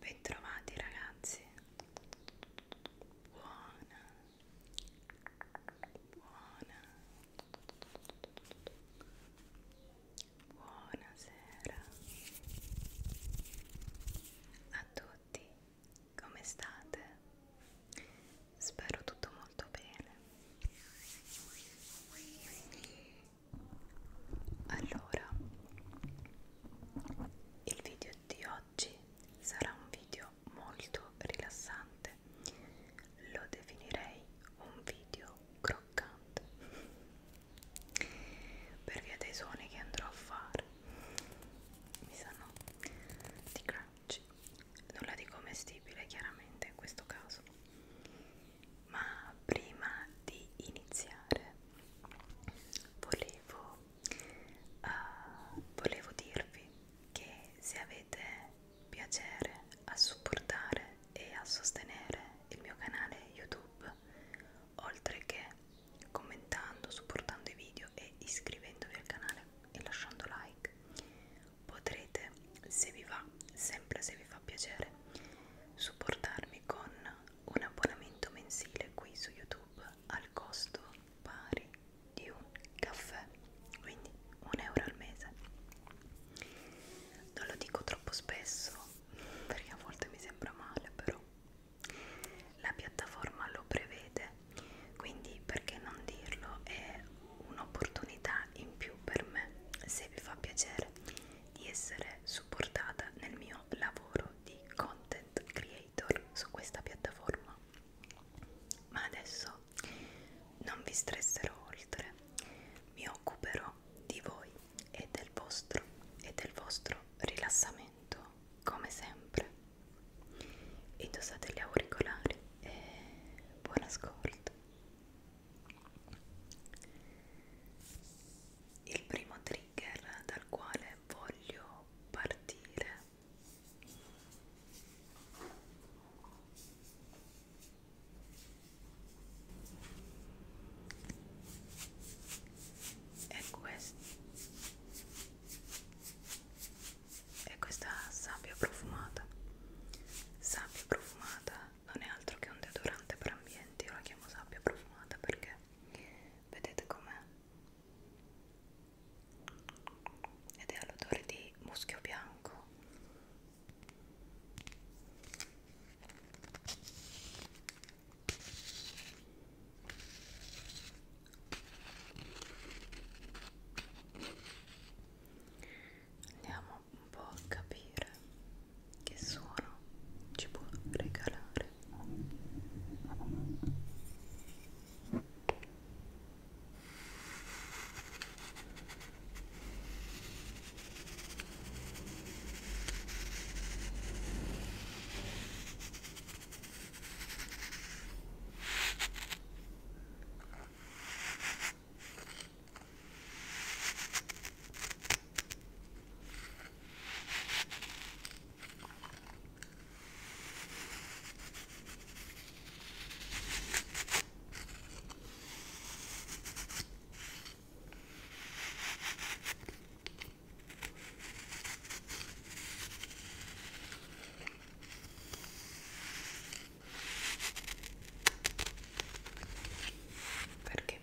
Bentrovati ragazzi. Buona. Buona. Buonasera. A tutti, come state? Spero tutto molto bene. Allora, il video di oggi sarà un video molto rilassante, lo definirei un video croccante per via dei suoni che andrò a fare, mi sanno di crunch, nulla di commestibile chiaramente in questo caso ma prima di iniziare volevo, uh, volevo dirvi che se avete piacere a supportare e a sostenere il mio canale YouTube, oltre che commentando, supportando i video e iscrivendovi al canale e lasciando like, potrete, se vi va, ma sempre se vi fa piacere supportarmi con un abbonamento mensile qui su YouTube al costo pari di un caffè, quindi un euro al mese. Non lo dico troppo spesso perché a volte mi sembra male, però la piattaforma lo prevede, quindi perché non dirlo? È un'opportunità in più per me se vi fa piacere di essere supportata nel mio lavoro di content creator su questa piattaforma. Ma adesso non vi stresserò oltre, mi occuperò di voi e del vostro e del vostro rilassamento come sempre. Indossate gli auricolari e buon ascolto. Il primo trigger dal quale voglio partire è questo è questa sabbia profumata sabbia profumata non è altro che un deodorante per ambienti, io la chiamo sabbia profumata perché vedete com'è ed è all'odore di muschio bianco andiamo un po' a capire che suono ci può regalare Ecco perché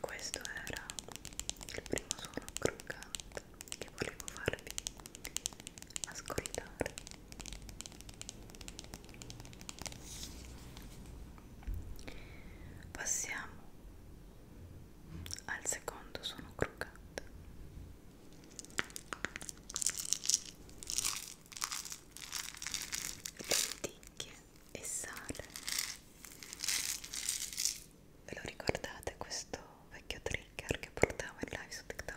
Questo era il primo suono croccante che volevo farvi ascoltare. Passiamo al secondo suono croccante. Lenticchie e sale. Ve lo ricordate questo vecchio trigger che portavo in live su TikTok?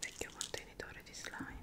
vecchio contenitore di slime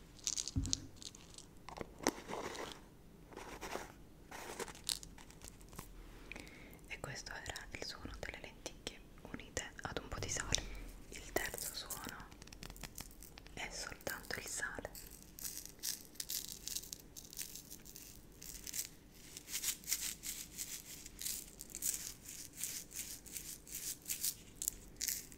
e questo era il suono delle lenticchie unite ad un po' di sale il terzo suono è soltanto il sale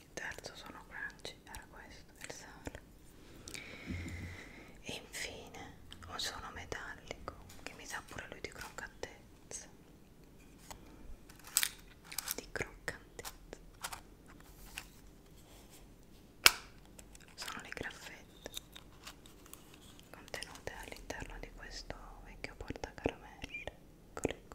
il terzo sono crunchy era questo il sale e infine un suono metallico che mi sa pure lui di croccantezza di croccantezza sono le graffette contenute all'interno di questo vecchio portacaramelle ecco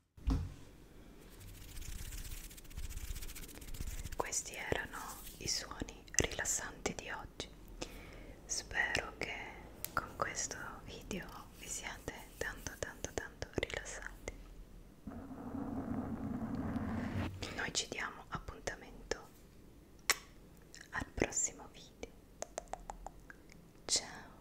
Questi erano i suoni rilassanti di oggi. Spero che con questo video vi siate tanto tanto tanto rilassati. Noi ci diamo appuntamento al prossimo video. Ciao.